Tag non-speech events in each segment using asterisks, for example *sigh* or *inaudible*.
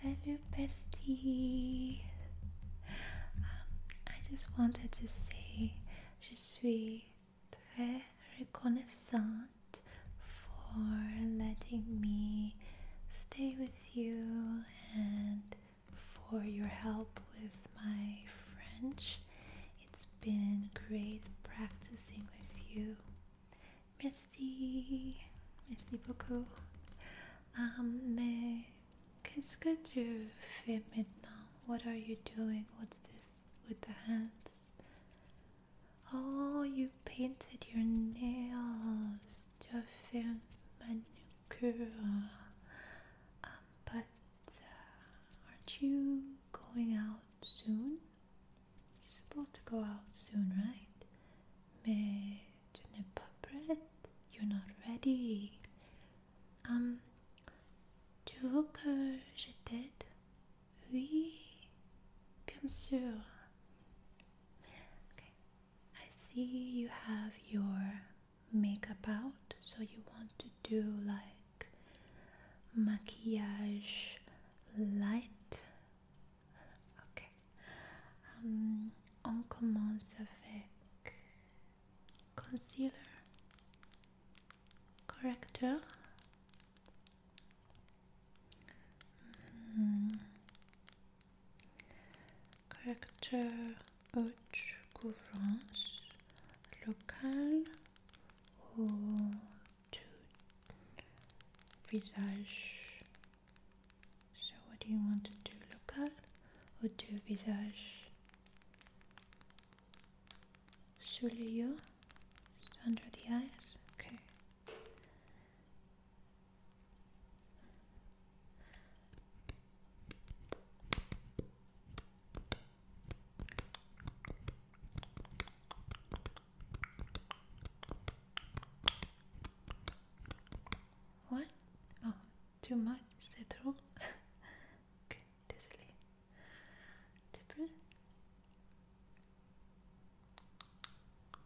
Salut bestie! Um, I just wanted to say je suis très reconnaissante for letting me stay with you and for your help with my French. It's been great practicing with you. Merci, merci beaucoup. Um, mais qu'est-ce que tu fais maintenant? What are you doing? What's this with the hands? Oh, you painted your nails. Tu as fait une manucure. Um, but uh, aren't you going out soon? You're supposed to go out soon, right? Mais tu n'es pas prête. You're not ready. Um, tu veux que je t'aide? Oui, bien sûr. Okay, I see you have your makeup out so you want to do like maquillage light ok um, on commence avec concealer correcteur mm-hmm. Character haute couvrance local ou tout visage. So, what do you want to do? Local ou tout visage? Sous les yeux? Under the eyes? Okay. What? Oh, too much? C'est trop? *laughs* okay, désolé. Un petit peu.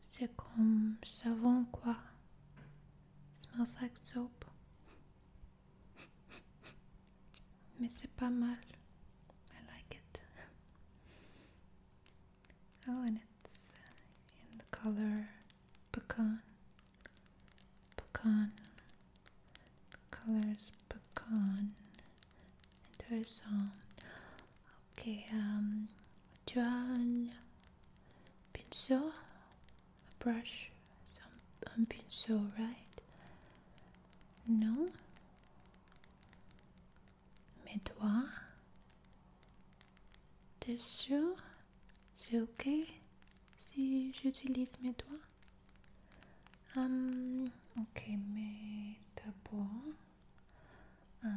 C'est Smells like soap. but c'est pas mal. Oh, and it's in the color pecan. Pecan. pecan. And there's um, Ok, um, pinceau, brush, un pinceau, right? Non? Mes doigts? T'es sûr? C'est ok si j'utilise mes doigts? Um, ok, mais d'abord. Euh,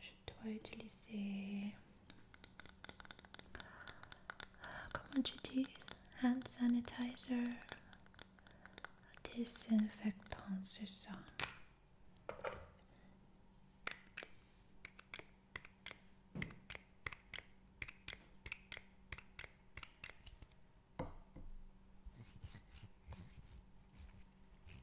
je dois utiliser euh, comment tu dis hand sanitizer désinfectant c'est ça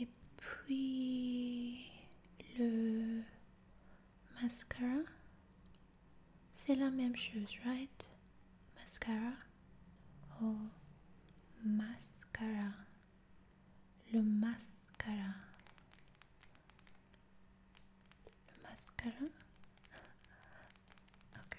et puis le mascara c'est la même chose right mascara oh mascara le mascara le mascara *laughs* ok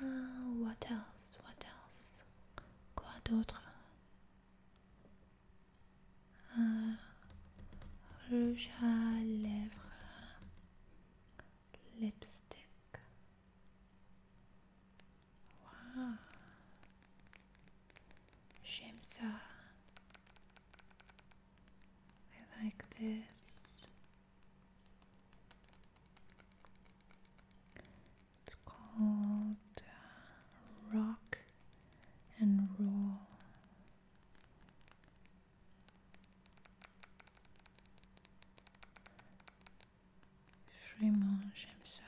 Ah, what else? What else? Quoi d'autre? Ah, rouge à lèvres, lipstick. J'aime ça. I like this. It's called uh, Rock and Roll. Vraiment, j'aime ça.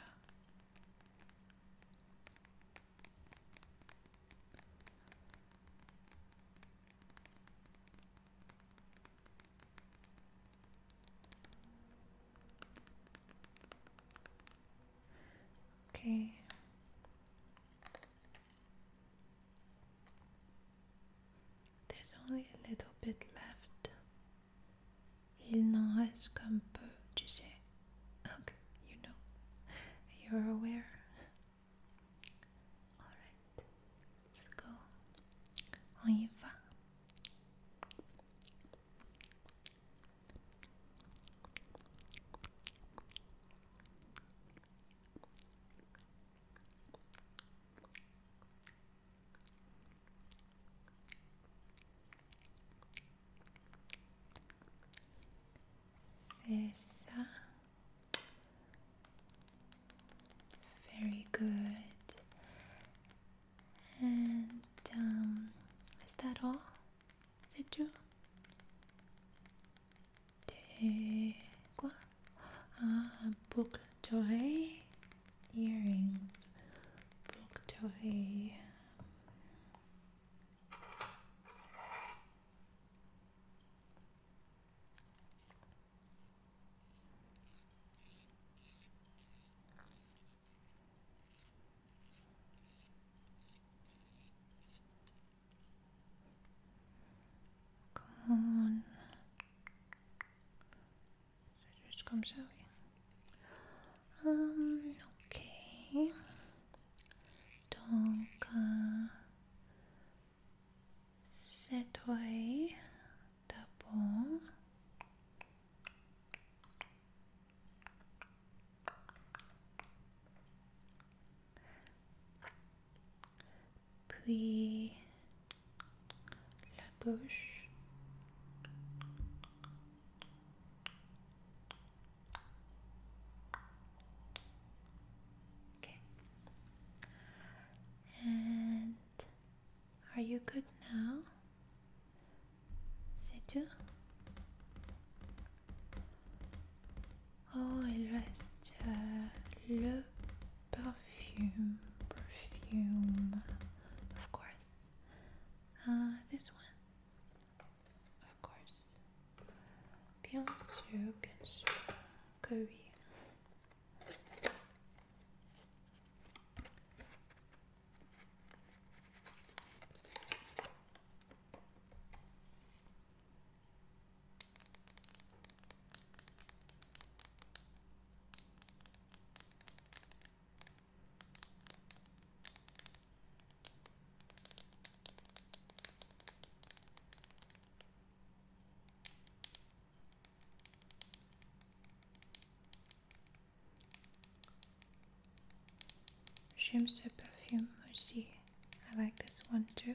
Okay. There's only a little bit left. Il n'en reste comme peu, tu sais. Okay, you know. You're aware. Alright, let's go. On y va. C'est Very good. And um, is that all? C'est tout? Des quoi? Ah, boucle d'oreille. Earrings. Boucle d'oreille. Come on. Just comes out. ok. Donc, euh, cette oeil d'abord. Puis la bouche. Okay. And are you good now? C'est tout? Oh, il reste euh, le perfume. Perfume, of course. Uh, this one of course. Bien sûr, bien sûr, que oui. Shimsa perfume I see. I like this one too.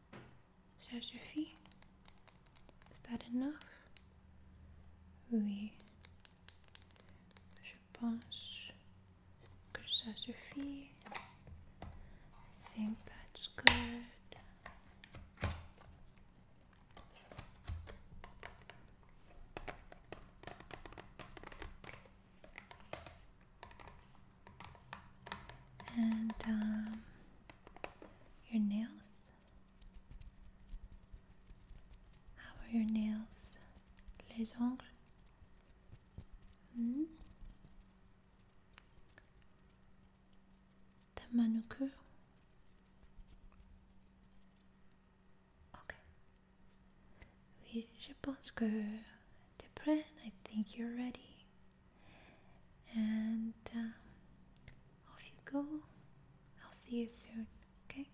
Ça suffit. Is that enough? Oui. Je pense que ça suffit. I think that's good. And um, your nails? How are your nails? Les ongles? Hmm? The manucure? Ok. Oui, je pense que I think you're ready. And uh, off you go. I'll see you soon, okay?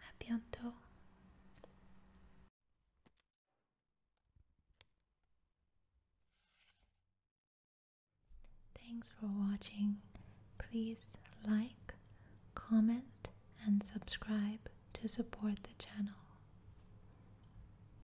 A Thanks for watching. Please like, comment, and subscribe to support the channel.